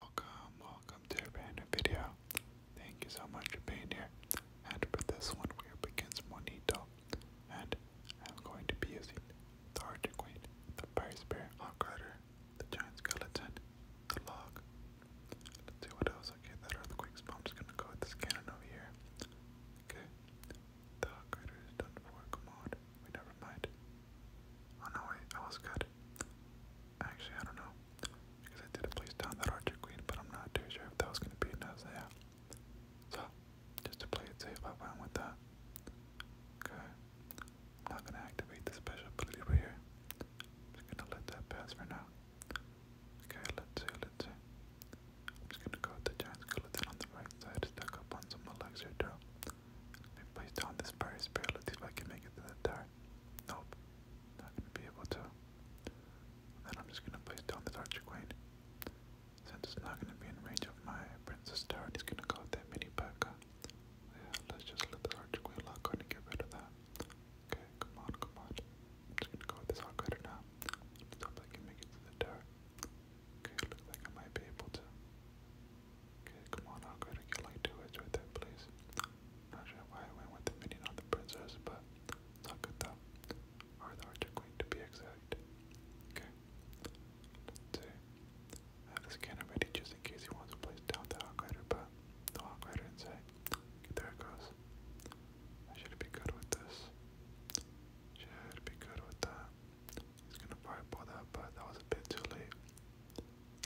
Welcome, welcome to a video. Thank you so much for being here. And for this one, we are against Monito. And I'm going to be using the Artiquate, the Fire Spirit, Hawk the Giant Skeleton, the Log. what else. Okay, that Earthquake Spawn. just gonna go with this cannon over here. Okay. The Hawk Rider is done for. never mind. Oh no, wait, I was good. Actually, I don't know. Because I did a place down that Archer Queen, but I'm not too sure if that was going to be an Isaiah. So, just to play it with that. Okay. I'm not going to activate the special ability right here. just going to let that pass for now. Okay, let's see, let's see. I'm just going to go with giant skeleton on the right side, stack up on some elixir too. Let place down this Paris barrel. see if I can make it to that tower. Nope. Not gonna be able to. Then I'm just gonna place down this archer queen. Since it's not gonna be in range of my princess tower, he's gonna go with that mini P.E.K.K.A. let's just let this archer queen lock on and get rid of that. Okay, come on, come on. just gonna go with this archer now. Let's I can make it to the tower. Okay, looks like I might be able to. Okay, come on, I'll get like two heads right there, please. Not sure why I went with the minion on the princess, but not good though. Or the archer queen to be exact. Okay. let have this cannon ready just in case he wants to place down the Hawkrider, but the Hawkrider inside. there it goes. should be good with this. Should be good with that. He's gonna fireball that, but that was a bit too late.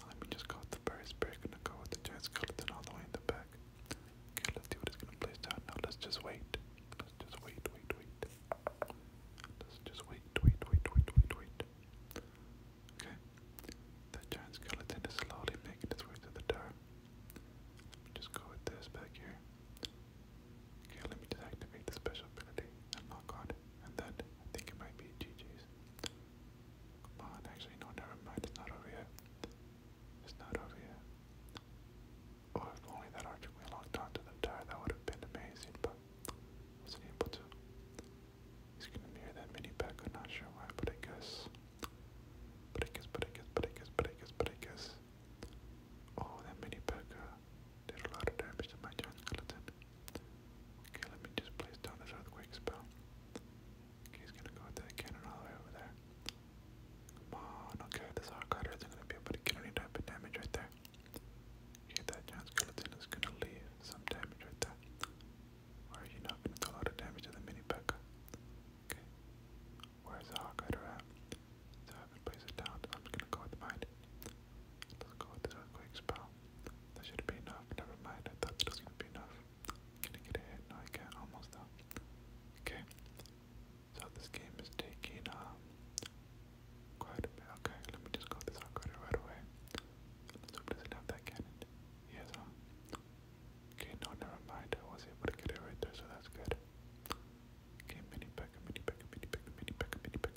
Let me just go the Burris Bear. Gonna go with the giant skeleton all the way in the back. Okay, let's see what gonna place down. Now let's just wait. Let's just wait, wait, wait. Let's just wait, wait, wait, wait, wait, wait. Okay. That giant skeleton is slowly making its way to the door. just go with this back here. Okay, let me just activate the special ability and lock on good, and then I think it might be GG's. Come on, actually, no, never mind, it's not over yet. It's not over yet. Oh, if only that archer we locked onto the tire, that would have been amazing, but wasn't able to. He's gonna mirror that mini back, I'm not sure why, but I guess. But I guess, but I guess, but I guess, but I guess, but I guess. Oh, that mini Pekka did a lot of damage to my giant skeleton. Okay, let me just place down this earthquake spell. he's gonna go with that cannon all the way over there. Come okay, this Hawkeye is gonna be able to get any type of damage right there. Okay, that giant skeleton is gonna leave some damage right there. Or are you not gonna do a lot of damage to the mini Becca? Okay. Where's the Hawkeye at? So I can place it down. I'm just gonna go with mine. Let's go with the earthquake spell. That should be enough. Never mind. I thought that was be enough. Can I get a hit? No, I can't. Almost though. Okay. So this game is taking um quite a bit. Okay, let me just go this out right away. Let's it have that cannon. Yes, Okay, no, never mind. I was able to get it right there, so that's good. Okay, mini pack, mini pack, mini pack, mini pack, mini pack.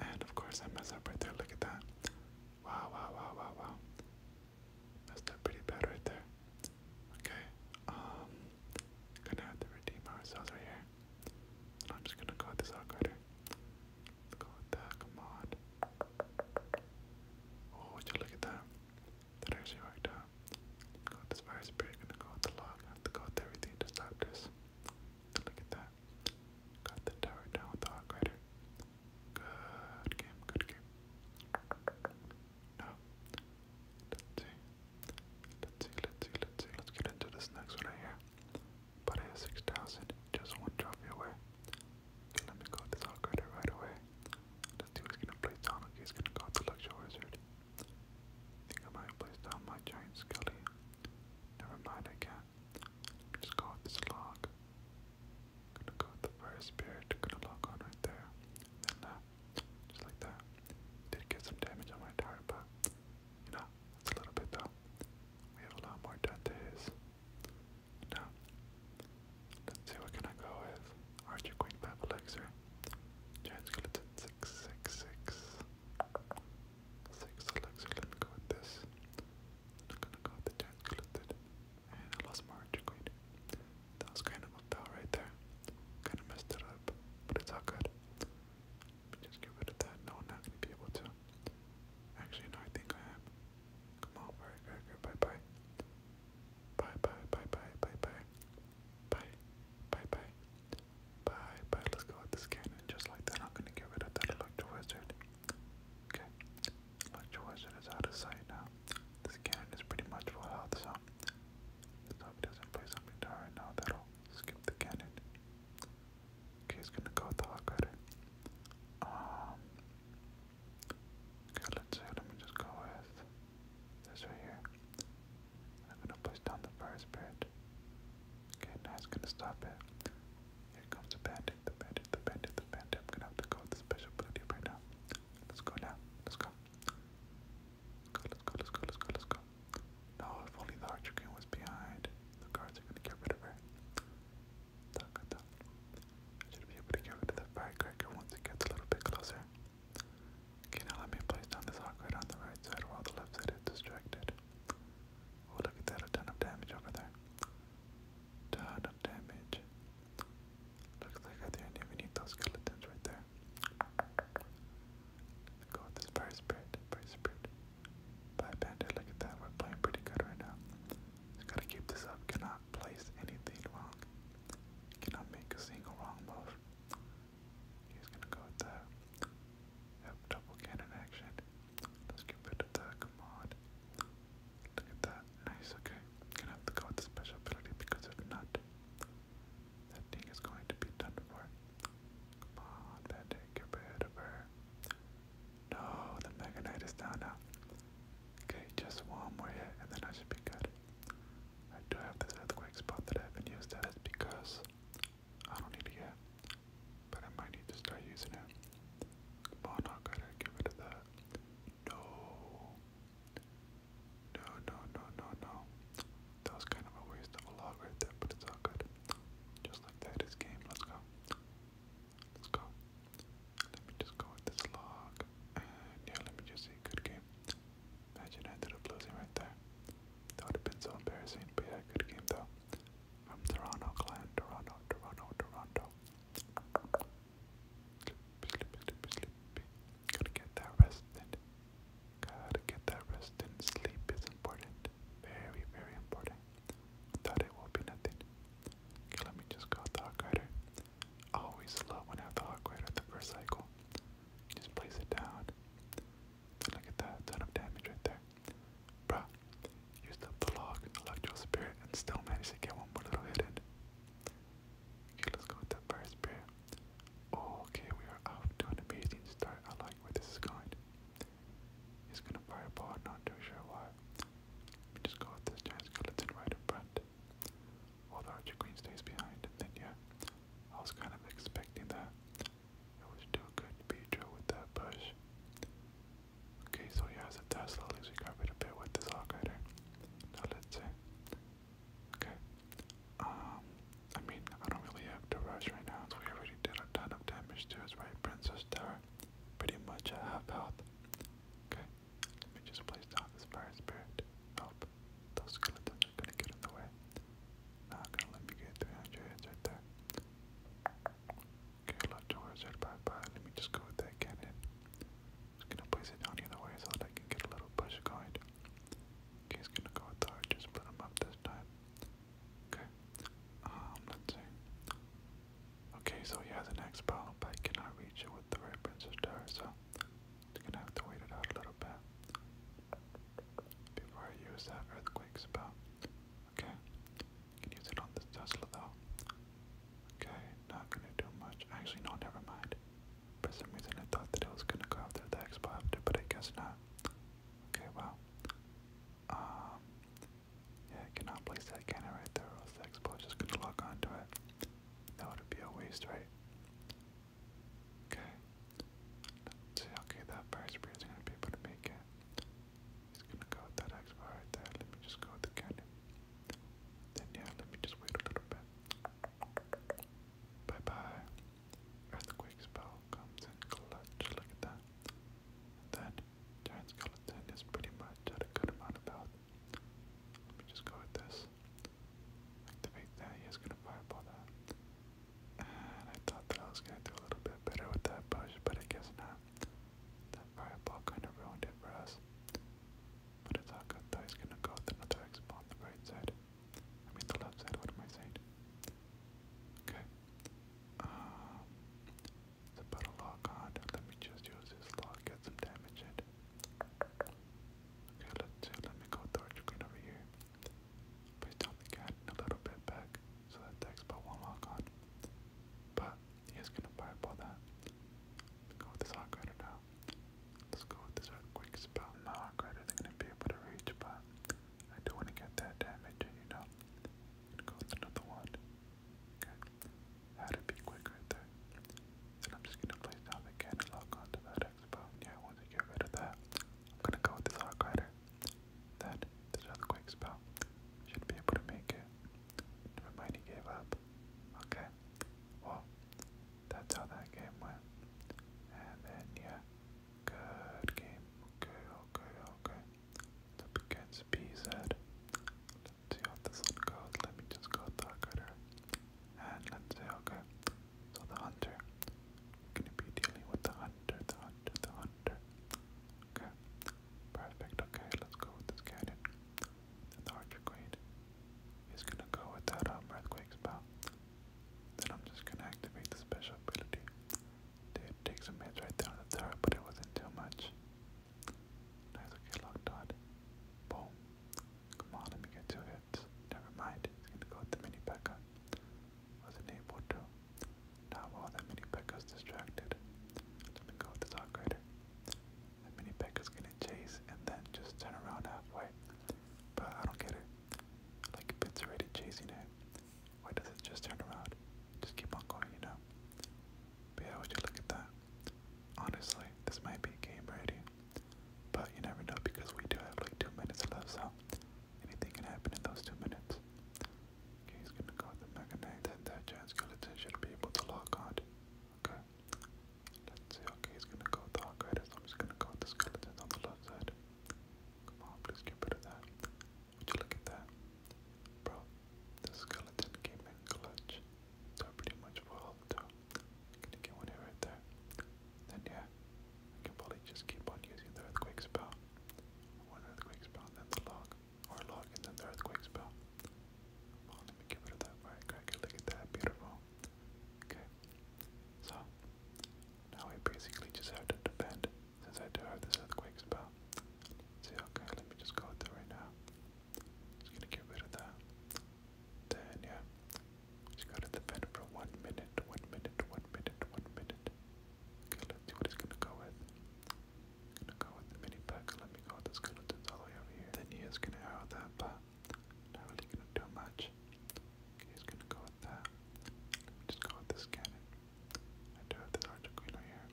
And of course I mess up right there, look at that. Wow, wow, wow, wow, wow. Messed up pretty bad right there. Okay, um, gonna have to redeem ourselves right here. I'm just gonna go with this out go with that, come on. Oh, look at that? That actually worked out. go with this spirit, gonna go with the log. have to go with everything to stop this. Look at that. Got the tower down with the hawk rider. Good game, good game. No. Let's see. Let's see, let's see, let's see. Let's get into this next one here. But I have 6,000, just one trophy away. let me go this hawk rider right away. Let's see who's gonna play down. he's gonna go with the luxury wizard. think I might place my giant scully. Never mind, I can't. Let me just go with this log. Gonna go with the fire spirit, gonna lock on right there. then, uh, just like that. Did get some damage on my tower, but, you know, a little bit though. We have a lot more done to his. Now, let's see what can I go with. Archer Queen Pap Elixir. Giant Skeleton 666 six elixir. Let me go with this. I'm gonna go with the giant gluted. And I lost my archer That was kind of a foul right there. Kind of messed it up, but it's all good. Let me just get rid of that. No, not gonna be able to. Actually, I think I am. Come on, alright, alright, bye bye. Bye bye bye bye bye bye. Bye bye bye. Bye, bye. Let's go with this cannon just like that. I'm gonna get rid of that electro wizard. Okay, electro wizard is out of sight now. This cannon is pretty much full health, so let's hope doesn't play something right now that'll skip the cannon. Okay, he's gonna go with the hawk Um, okay, let's see. Let me just go with this right here. I'm gonna place down the fire spirit. Okay, now it's gonna stop it. Here comes the bandit, the bandit, the bandit, the bandit. I'm gonna have to go with the special ability right now. Let's go now. Let's go. Let's go, let's go, let's go, let's go, No, if only the Archer Queen was behind. The guards are gonna get rid of her. Tuck, tuck. I should be able to get rid of that firecracker once it gets a little bit closer. Okay, now let me place down this hawk on the right side while the left side is distracted. Oh, look at that, a ton of damage over there. Ton of damage. Looks like I didn't even need those skeletons right there. go with this fire spirit, fire spirit. Bye, Panda, look at that, we're playing pretty good right now. Just gotta keep this up, cannot place anything wrong. Cannot make a single wrong move. He's gonna go with that. Yep, double cannon action. Let's get rid of that, come Look at that, nice, okay. Gonna have to go with the special ability because if not, that thing is going to be done for. Come that thing, get rid of her. No, the Mega Knight is down now. Okay, just one more hit and then I should be good. I do have this earthquake spot that I haven't used That's because I don't need it yet, but I might need to start using it. Come on, I to get rid of that. No. No, no, no, no, That was kind of a waste of a log right there, but it's all good. Just like that is game. Let's go. Let's go. Let me just go with this log. And yeah, let me just see. Good game. Imagine I ended up losing right there. That would have been so embarrassing. But yeah, good game though. From Toronto Clan, Toronto, Toronto, Toronto. Gotta get that rest in. Gotta get that rest in. Sleep is important. Very, very important. Without it will be nothing. Okay, let me just go with the Hawk always love when I have the Hawk Rider the first cycle. Just place it down. Look at that, ton of damage right there. Bruh, used up the log, electro spirit, and still managed to get one more little hit in. Okay, let's go with the fire spirit. Okay, we are off to an amazing start. I like where this is going. He's gonna fireball, not too sure why. Let me just go with this giant skeleton right in front. While the Queen stays behind, and then yeah, I was kind of expecting that. It was too good to be true with that push. Okay, so he has a Tesla, at we got rid of it with this Hawkrider. Now let's see. Okay. Um, I mean, I don't really have to rush right now, so we already did a ton of damage to his right Princess Tower. Pretty much at half health. Okay, let me just place down this Fire Spirit. Nope, those skeletons are gonna get in the way. Not gonna let me get 300 heads right there. Okay, left towards red by by. Let me just go with that cannon. Just gonna place it down the other way so I can get a little push going. Okay, he's gonna go with the archer, split him up this time. Okay, um, let's see. Okay, so he has an X bomb, cannot reach it with the right Princess Tower, so gonna have to wait it out a little bit before I use that earthquake spell. Okay. Can use it on this Tesla though. Okay, not gonna do much. Actually no, never mind. For some reason I thought that it was gonna go after the expo but I guess not. Okay, well. Um yeah, cannot place that cannon right there, or the expo just gonna lock onto it. That would be a waste, right? Okay. see. Okay, that fire spray is gonna be able to make it. He's gonna go that X bar right there. Let me just go with the cannon. Then yeah, let me just wait a little bit. Bye bye. Earthquake spell comes in clutch. Look at that. And then giant skeleton is pretty much at a good amount of health. Let me just go with this activate that. He is going to fireball that. And I thought that I was going to do a little bit better with that push, but I guess not. That fireball kind of ruined it for us. But it's all good though. He's going to go with another expo on the right side. I mean the left side, what am I saying? Okay. Um, it's about to on. Let me just use this lock, get some damage in. Okay, let Let me go Thorchigreen over here. Please tell me cat a little bit back, so that takes about one lock on. But he is gonna fireball that. go with this hawk rider now. Let's go with this earthquake spell. My hawk isn't gonna be able to reach, but I do wanna get that damage you know. go with another one. Okay. That'd be quick there. Then I'm just gonna place down the cat and lock onto that objects, yeah, I want to get rid of that. I'm gonna go with this arc Rider. Then, this Earthquake spell. Should be able to make it. Never mind, gave up. Okay. Well, that's how that game went. And then, yeah. Good game. Okay, okay, okay. against BZ. Let's see how this one goes. Let me just go with Hawk And let's see, okay. So oh, the hunter. gonna be dealing with the hunter, the hunter, the hunter. Okay. Perfect. Okay, let's go with this cannon. the archer queen is gonna go with that um, earthquake spell. Then I'm just gonna activate the special ability. Did take some hits right there but it wasn't too much. Nice, okay, locked on. Boom. Come on, let me get two hits. Never mind, he's gonna go with the mini Pekka. Wasn't able to. Now while the mini Pekka's distracted, let me go with this upgrader. That mini Pekka's gonna chase and then just turn around halfway. But I don't get it. Like if it's already chasing it, why does it just turn around? Just keep on going, you know? But yeah, would you look at that? Honestly, this might be game ready. But you never know because we do have like two minutes left, so anything can happen in those two minutes. Okay, he's gonna go the Mega Knight, and that giant skeleton should be able to lock on. Okay. Let's see, okay, he's gonna go the Hawk Rider, so gonna go the skeleton on the left side. Come on, please get rid of that. Would you look at that? Bro, the skeleton came in clutch. So pretty much we're Gonna get one here right there. Then yeah, I can probably just keep on using the earthquake spell. One earthquake spell, then the log. Or log and then the earthquake spell. let me get rid of that firecracker. Look at that, beautiful. Okay. So now we basically just have to depend since I do have this earthquake spell. See, okay, let me just go with right now. Just gonna get rid of that. Then yeah, just go to the for one minute, one minute, one minute, one minute. Okay, let's see what it's gonna go with. gonna go with the mini pack. Let me go with the skeletons all the way over here. Then he is gonna arrow that, but not really gonna do much. Okay, he's gonna go with that. Let just go with this cannon. I do have this archer queen right here.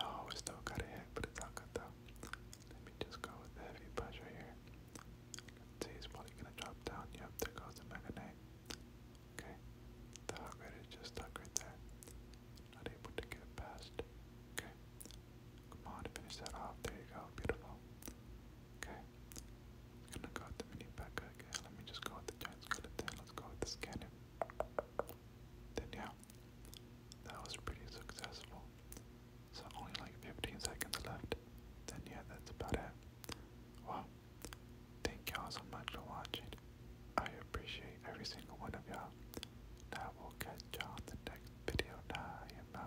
No, still got a hit, but it's not good though. Let me just go with the heavy pressure here. see, he's probably gonna drop down. Yep, there goes the Mega Knight. Okay, the upgrade is just stuck there. Not able to get past. Okay, come on, finish that off. There you go, beautiful. Okay, gonna go with the mini Becca again. Let me just go with the giant skeleton. Let's go with the scanner. Then, yeah, that was pretty successful. So only like 15 seconds left. Then yeah, that's about it. Well, thank y'all so much for watching. I appreciate every single one of y'all. I will catch y'all in the next video. I